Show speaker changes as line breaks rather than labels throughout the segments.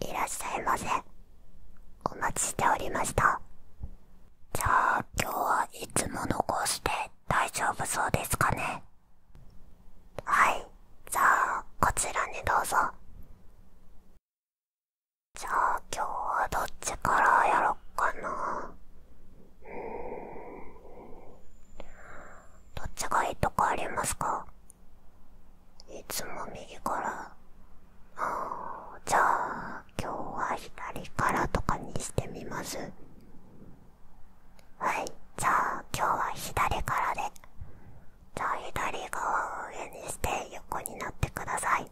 いらっしゃいませお待ちしておりましたじゃあ今日はいつものこうして大丈夫そうですかねはいじゃあこちらにどうぞじゃあ今日はどっちからやろっかなうーんどっちがいいとかありますかいつも右からああ、じゃあ今日は左からとかにしてみますはいじゃあ今日は左からでじゃあ左側を上にして横になってください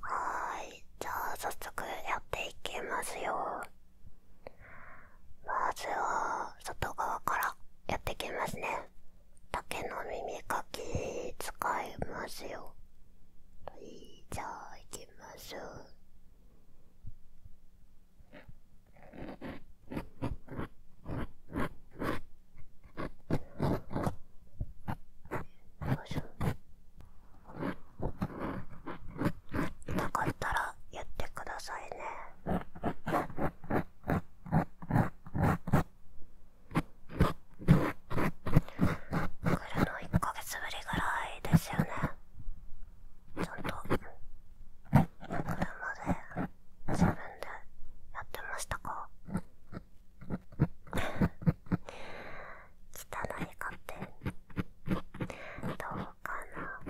はいじゃあ早速やっていきますよまずは外側からやっていきますね竹の耳かき使いますよはいじゃあいきますよしなかったら言ってくださいね。来るの1ヶ月ぶりぐらいですよね。ちゃんと来るまで自分でやってましたか汚いカップどうかな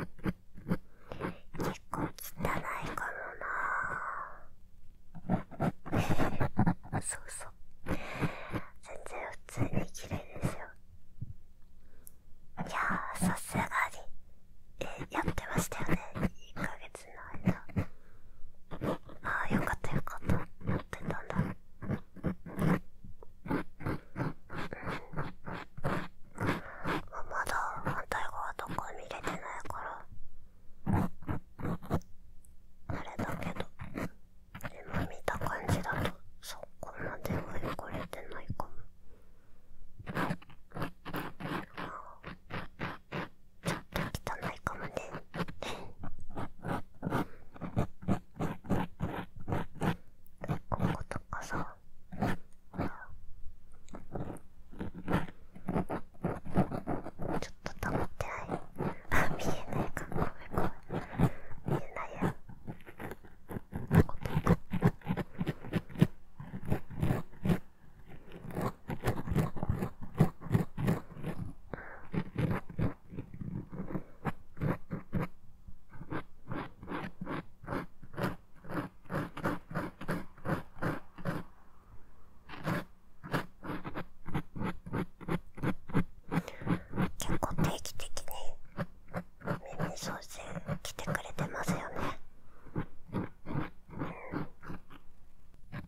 結構汚いかもなそうそう全然普通に綺麗ですよいやさすがにえやってましたよね1ヶ月ああよかったよかった持ってたんだうまだ反対側とか見れてないからあれだけど今見た感じだとそこまではかれてないかもああちょっと汚いかもねこことかさちょっとたまってないあ見えないかご見えないやこことか結構定期的に耳掃除来てくれてますよね。うん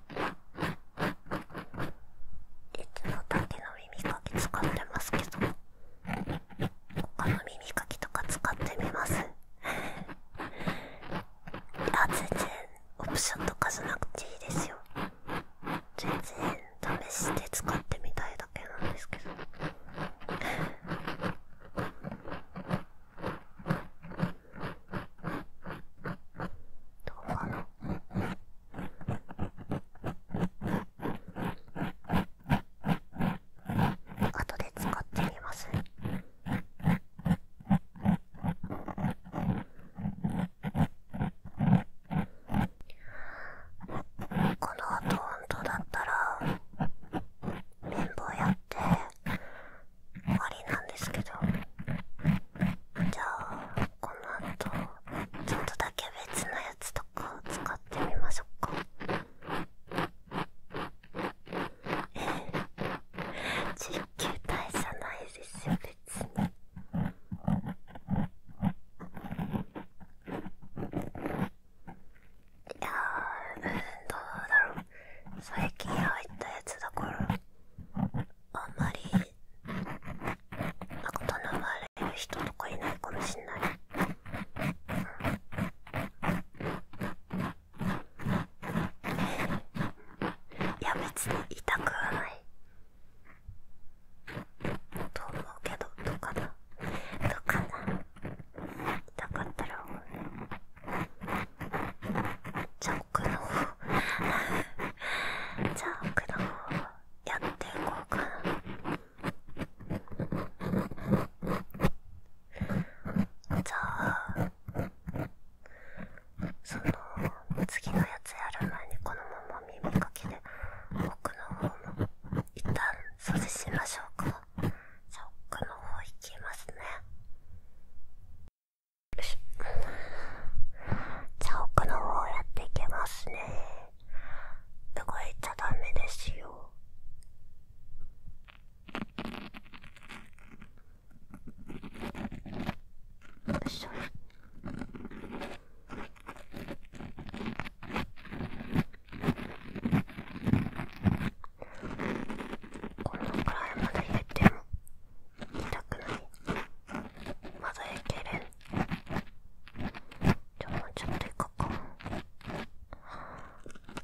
いつのだけの耳かき使ってますけど他の耳かきとか使ってみますいや、全然オプションとかじゃなくていいですよ全然試して使ってみたいだけなんですけどどうかな後で使ってみますこの後本当だったら綿棒やって終わりなんですけど。じゃあこの後ちょっとだけ別のやつとかを使ってみましょうかええ実球じゃないですよ別に。いやうんどうだろう最近入ったやつだからあんまり仲頼まれる人とかいないかもしんない、いや別に痛くはないと思うけどどうかなどうかな痛かったらじゃあ奥の方じゃあ奥の方やっていこうかじゃあその次のやつやる前にこのまま耳かきで奥の方も一旦掃除しましょうかじゃあの方行きますねよしじゃあ奥の方やっていけますね動いちゃダメですよよいしょこのくらいまで入れても痛くないまだいけるじゃあもうちょっといこうかょっ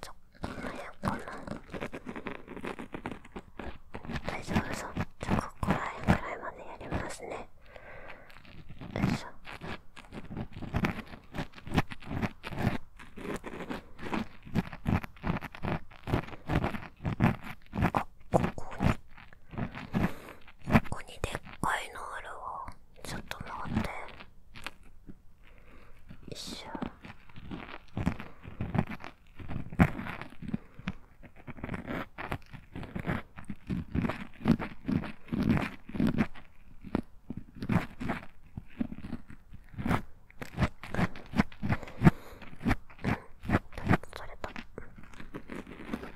と辺かな大丈夫そうちょっとこら辺くらいまでやりますねよいしょあここにここにでっかいのあるわちょっと待ってよいしょうん、取れた。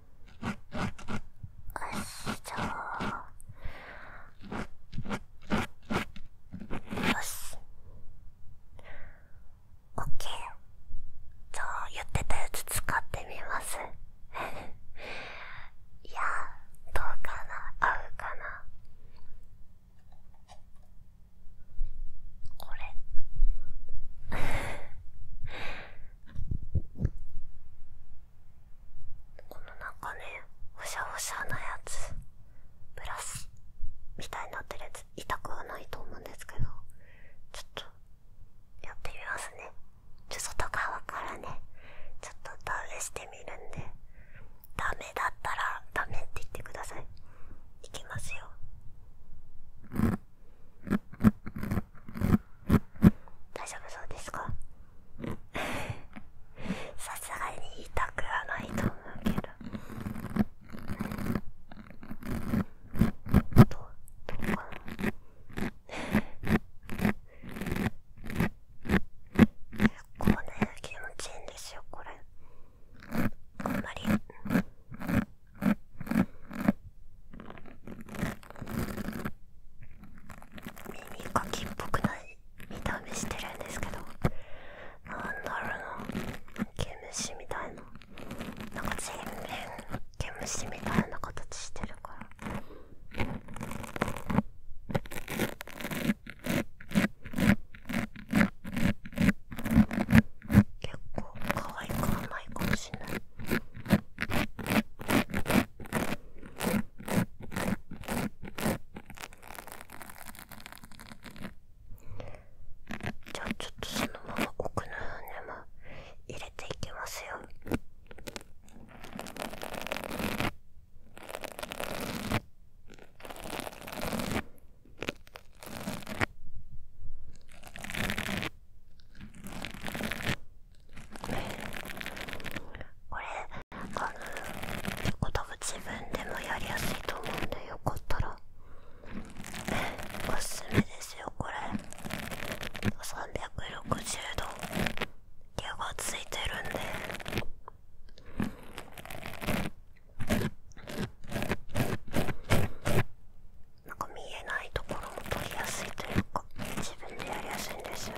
よしじゃあよしオッケーじゃあ言ってたやつ使ってみます いやどうかな合うかなこれ この中ねほしゃほしゃなやつブラスみたいになってるやつ痛くはないと思うんですけどちょっとやってみますねちょっと外側からねちょっと試してみるんでダメだったらダメって言ってくださいいきますよ大丈夫そうですか さすがに痛くはないと思うけどどと、どうかな こうね気持ちいいんですよこれあんまり耳かきっぽくない見た目してるんですけどなんだろうな毛虫みたいななんか全面毛虫みたいな形してるから。結構可愛くはないかもしれないじゃあちょっとそのまま奥の方にも入れていきますよ。これあのチョコト自分でもやりやすいと思うんでよかったらおすすめですよこれ360度毛がついてるんでなんか見えないところも取りやすいというか自分でやりやすいんですよね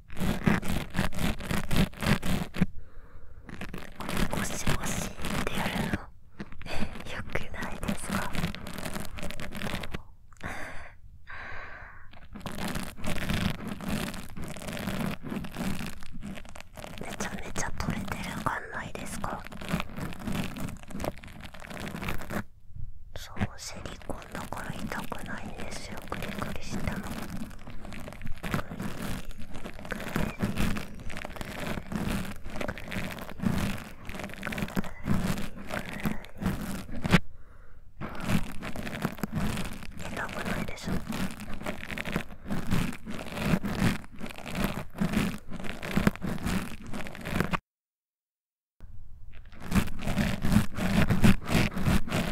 こゴシゴシってやるのよくないですかめちゃめちゃ取れてる感ないですかそうセリコだから痛くないんですよくりくりしたの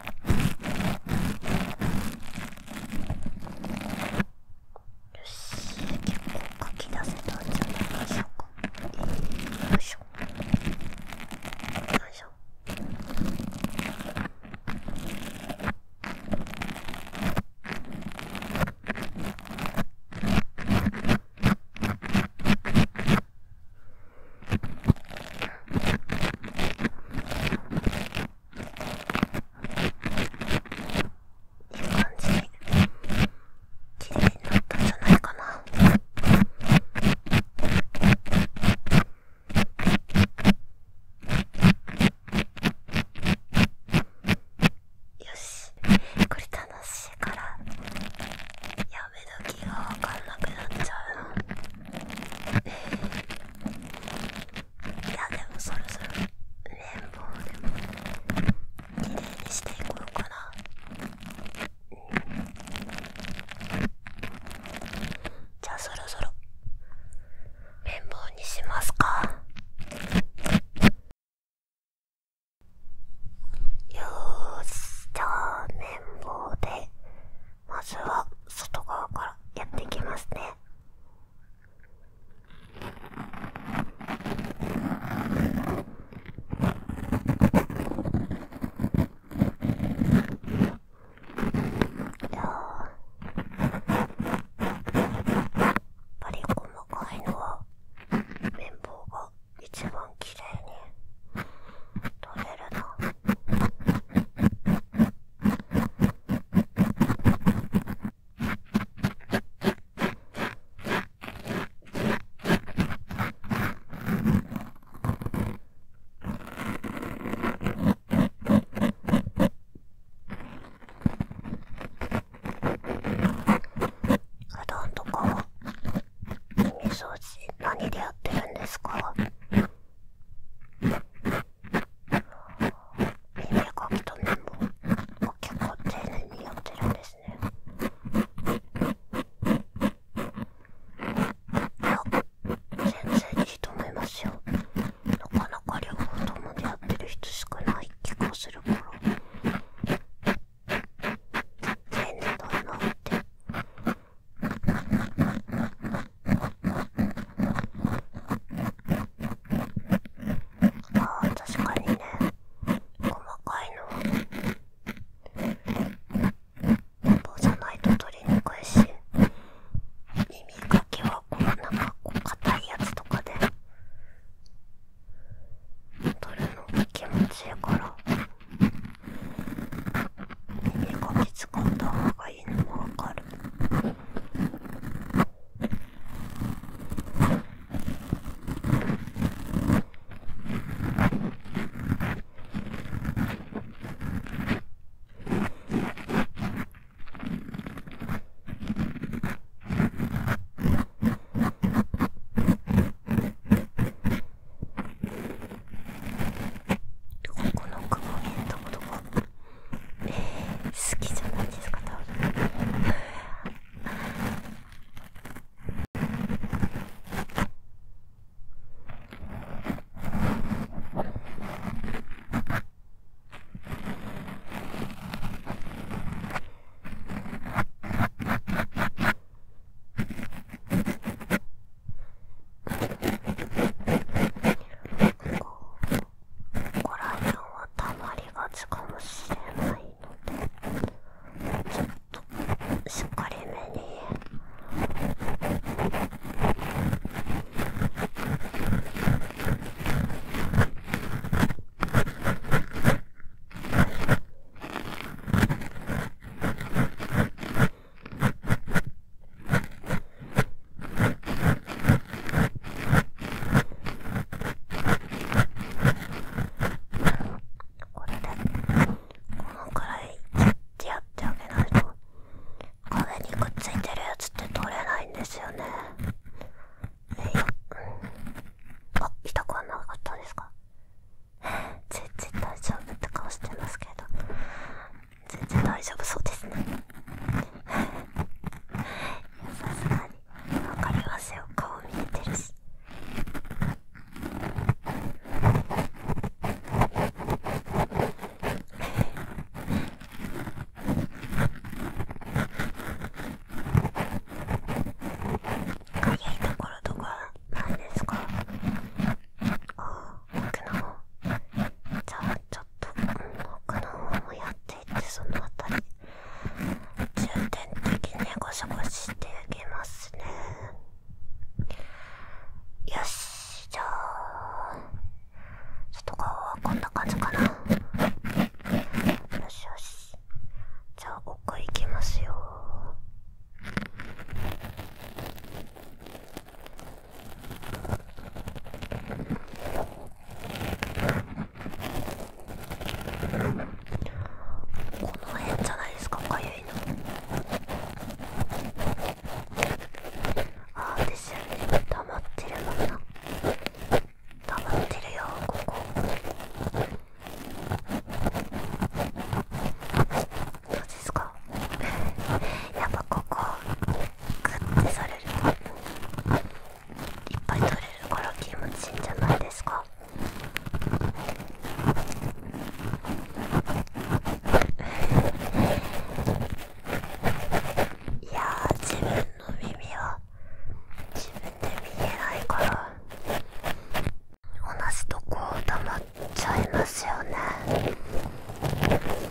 よし結構書き出せたんじゃないでしょうか、よいしょよいしょうん。いい感じに綺麗になったんじゃないかなよしこれ楽しいからやめ時が分かんなくなっちゃうないやでもそろそろレインボでも綺麗にしていこうかな、じゃあそろそろレインボにしますかよーしじゃあ綿棒でまずは外側からやっていきますねやっぱり細かいのは綿棒が一番きれいに取れるな。うどんとかは耳掃除何でやってるんですか耳かきと綿棒、結構丁寧にやってるんですねいや全然いいとますよなかなか両方ともでやってる人少ない気がするから丁寧だなってああ、確かにね細かいのは棒じゃないと取りにくいし耳かきはこのなんか硬いやつとかで取るのが気持ちいいから耳かき使った方がいい。がもわかるここの雲見えたことがえ好きじゃないですか多分えご来園はたまりがちかもしれないのでちょっとしっかりめにこれでこのくらいやってあげないと壁にくっついてるやつって取れないんですよねえいよあ痛くはなかったですか 全然大丈夫って顔してますけど全然大丈夫そうですね さすがにわかりますよ顔見えてるしああ僕のじゃあちょっと他の方もやっていってそのあたり重点的にゴシゴシしてあげますねよしじゃあちょっと顔はこんな感じかなよしよしじゃあ奥行きますよこの辺じゃないですかかゆいのああですよね溜まってるもんな溜まってるよここどうですか やっぱここグッてされるいっぱい取れるから気持ちいいんじゃないですかいや自分の耳は自分で見えないから同じとこをまっちゃいますよね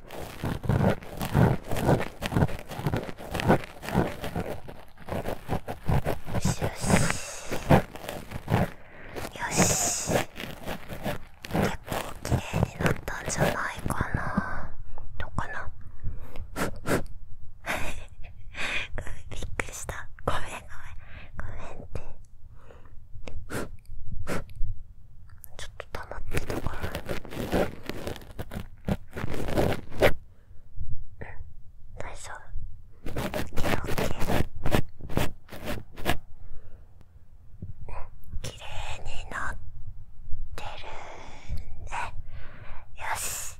よしよしよし結構綺麗になったんじゃないかなどうかな びっくりしたごめんごめんごめんってちょっとたまってたかな。うん大丈夫オッケーオッケ綺麗になってるねよし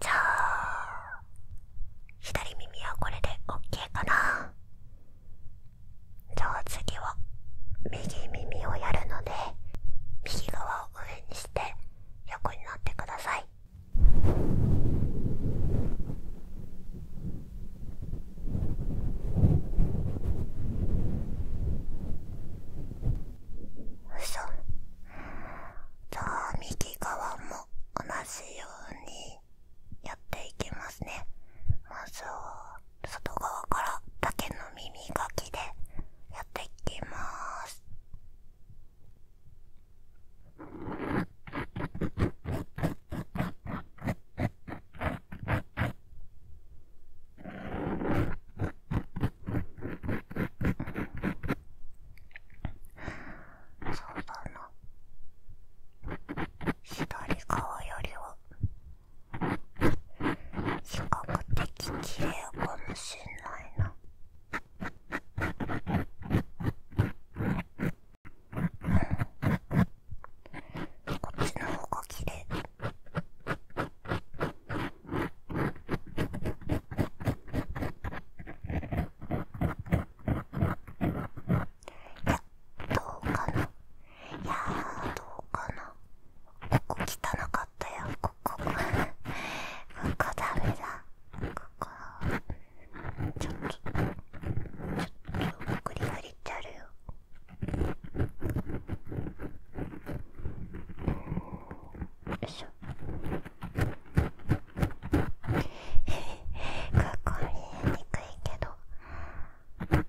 じゃあ左耳はこれでオッケーかなじゃあ次は右耳をやるので右側を上にして横になってください。うそじゃあ右側も同じようにやっていきますねまずは外側からだけの耳かきでやっていきますそうだな左側よりは比較的綺麗かもしんないな。こっちの方が綺麗。いやどうかないやーどうかなここ汚かったよここここダメだここちょっとちょっとグリグリってあるよよいしょ ここ見えにくいけど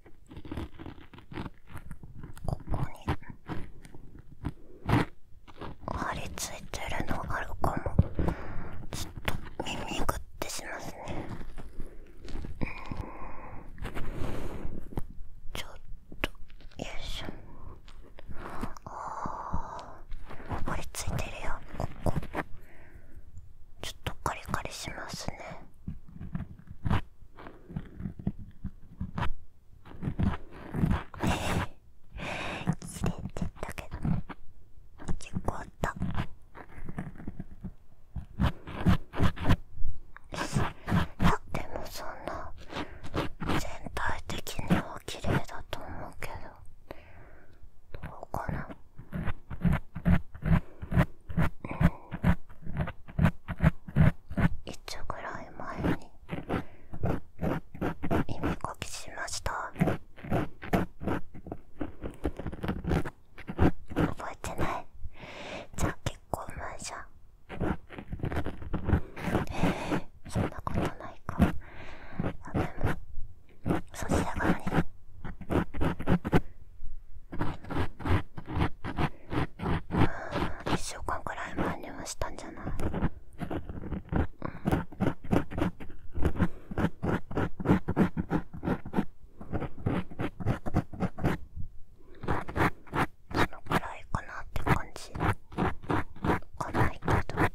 ここに張り付いてるのあるかもちょっと耳ぐってしますねちょっとよいしょああ張り付いてるよここちょっとカリカリしますね切れて言ったけど結構あったあでもそんな全体的には綺麗だと思うけどどうかなうんいつぐらい前に耳かきしました覚えてないじゃあ結構前じゃんそんなことないかあでもそしがらねうん1週間くらい前にはしたんじゃない、うん、そのくらいかなって感じかないけど。うん。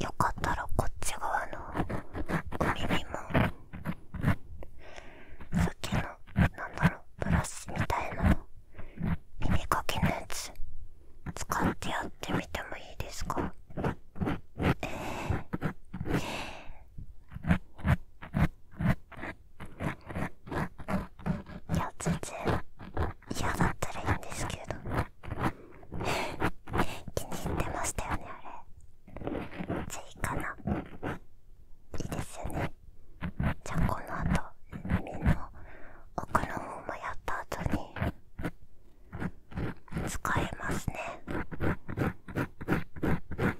よかったらこっち側のお耳もさっきのなんだろうブラシみたいな耳かきのやつ使ってやってみてもいいですかえーいや全然嫌だったらいいんですけど気に入ってましたよねあれじゃいいかないいですよねじゃあこの後耳の奥の方もやった後に使いますね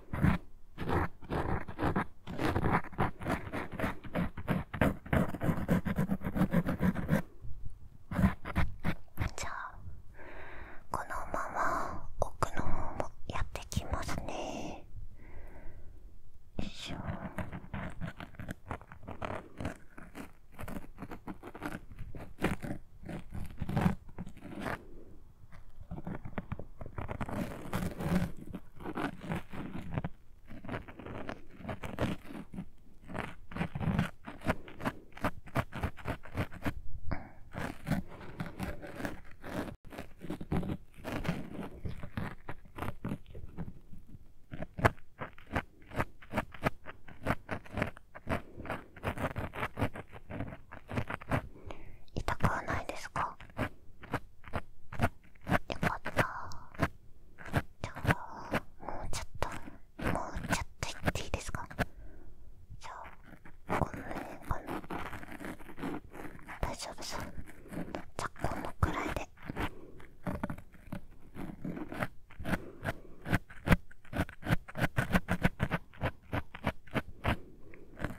じゃあこのまま奥の方もやってきますねよいしょ痛くはないですかよかったじゃあもうちょっともうちょっといっていいですかじゃあこの辺かな大丈夫そうじゃあこのくらいで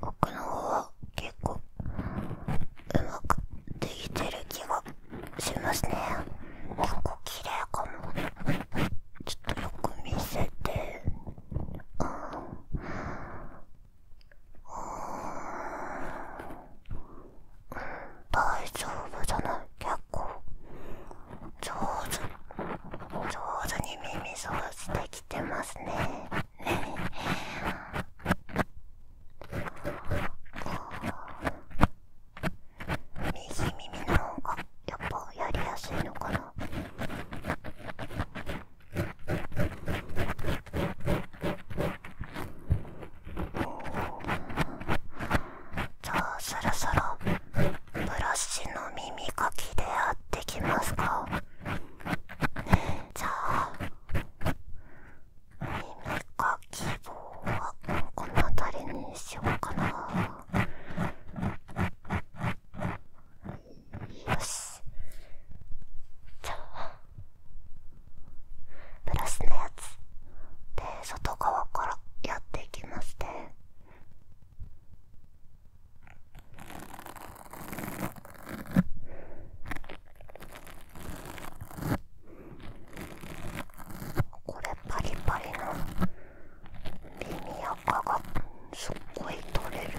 奥の方は結構うまくできてる気がしますね結構綺麗かもちょっとよく見せてあん大丈夫じゃない結構上手上手に耳掃除できてますね右耳の方がやっぱやりやすいのかなじゃあそろそろブラシの耳かきでやってきますか。じゃあ耳かき棒はこの辺りにしようかなよしじゃあブラシのやつで外側からやっていきますねこれパリパリのリニアカがすっごい取れる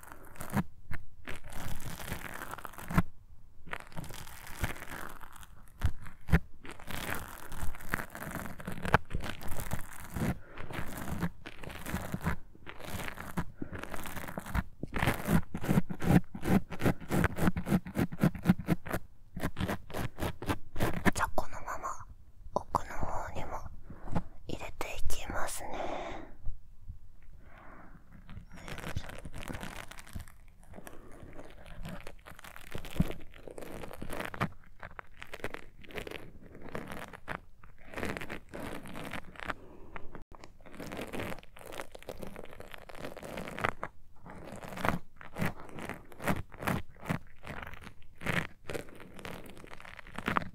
じゃこのまま奥の方にも入れていきますね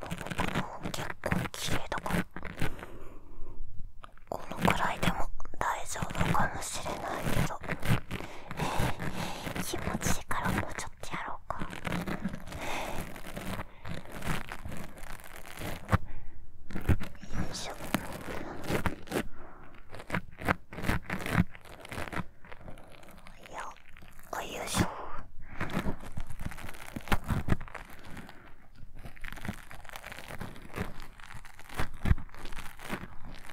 この結構綺麗だからこのくらいでも大丈夫かもしれないけど。えー、気持ちいいからもうちょっとやろうか。よいしょよいしょ。よいしょ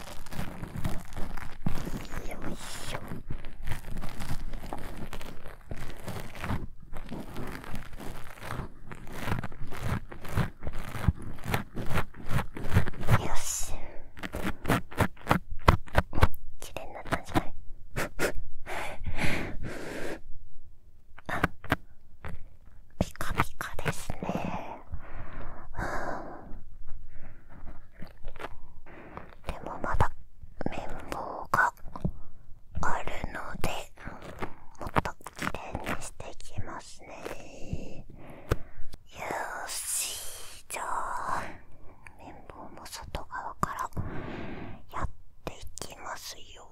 よいしょよし綺麗なったんじゃいあピカピカですね。でもまだ綿棒があるのでもっときれいにしていきますねよしじゃあ綿棒も外側からやっていきますよ。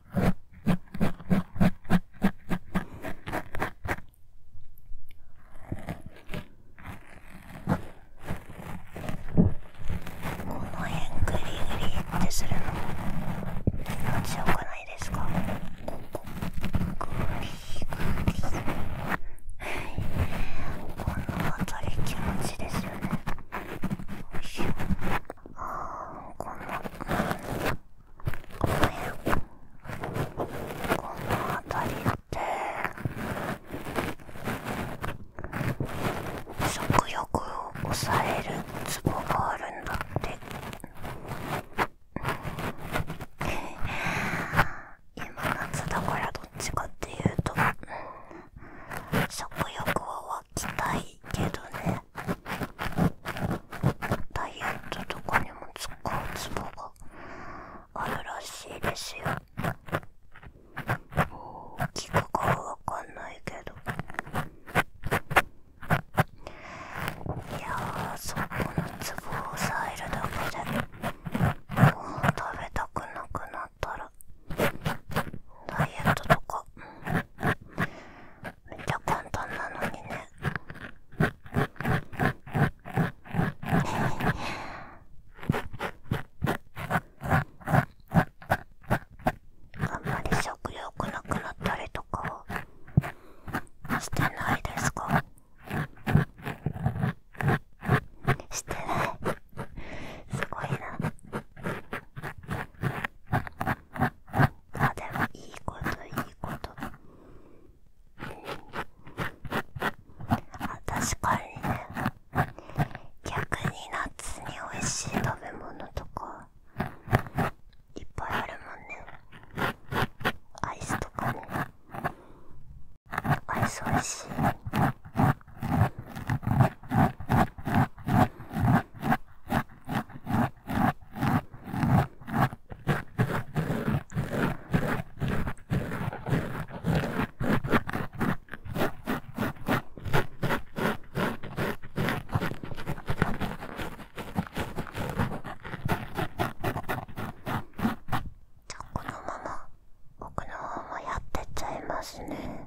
この辺グリグリってするの気持ちよくないですかここグリグリこの辺り気持こんなこの辺りって食欲を抑えるツボがあるんだって 今夏だからどっちかっていうと食欲は湧きたいけどねダイエットとかにも使うツボがあるらしいですよ大きくかはわかんないけどいやそこのツボを押さえるだけでご飯食べたくなくなったらダイエットとかめっちゃ簡単なのにねあんまり食欲なくなったりとかは。してないですかしてないすごいなあでもいいこといいことあ確かにね逆に夏に美味しい食べ物とかいっぱいあるもんねアイスとかねアイス美味しいじゃこのまま奥の方もやってっちゃいますね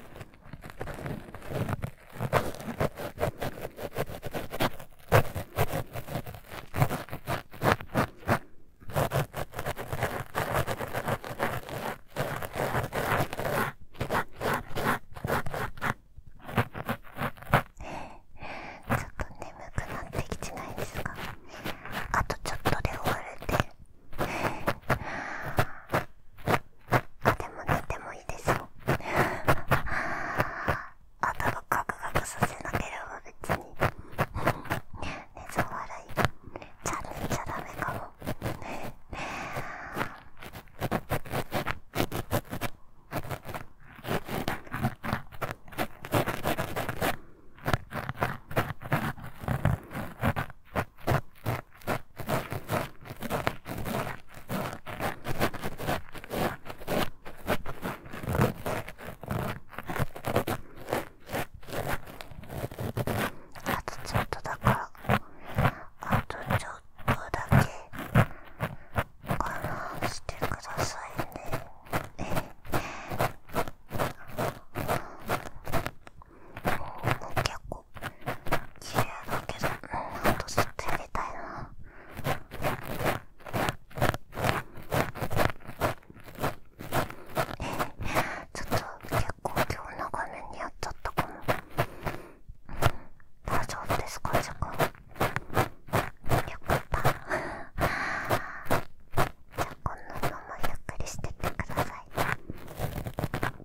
ちょっと眠くなってきてないですかあとちょっとで終わるんででも寝てもいいですよ頭ガクガクさせなければ別に寝相笑いちゃん寝ちゃダメかもああとちょっとだからあとちょっとだけ我慢してくださいね。もう結構綺麗だけどもっとずっとやたいなえちょっと結構今日長めにやっちゃったかも、大丈夫ですか時間よかったじゃあこんなのもゆっくりしてってください。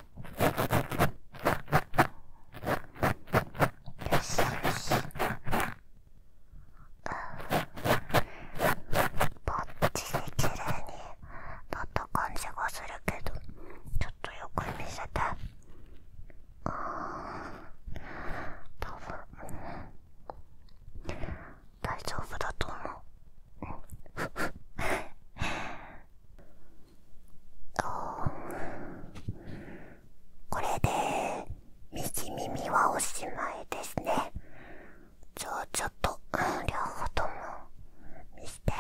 よしよしぼっちで綺麗になった感じがするけどちょっとよく見せてうん多分、ん、大丈夫だと思うこれで右耳はおしまいですねじゃあちょっと、両方とも見して、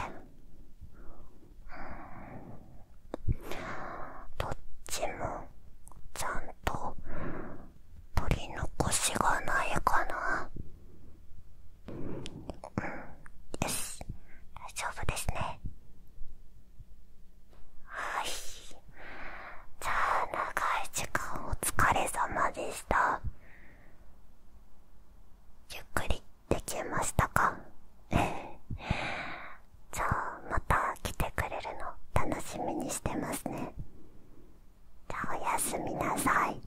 どっちもちゃんと取り残しがないかなよし大丈夫ですねはいじゃあ長い時間お疲れ様でしたゆっくりできましたか じゃあまた来てくれるの楽しみにしてますねじゃあおやすみなさい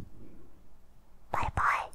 バイバイ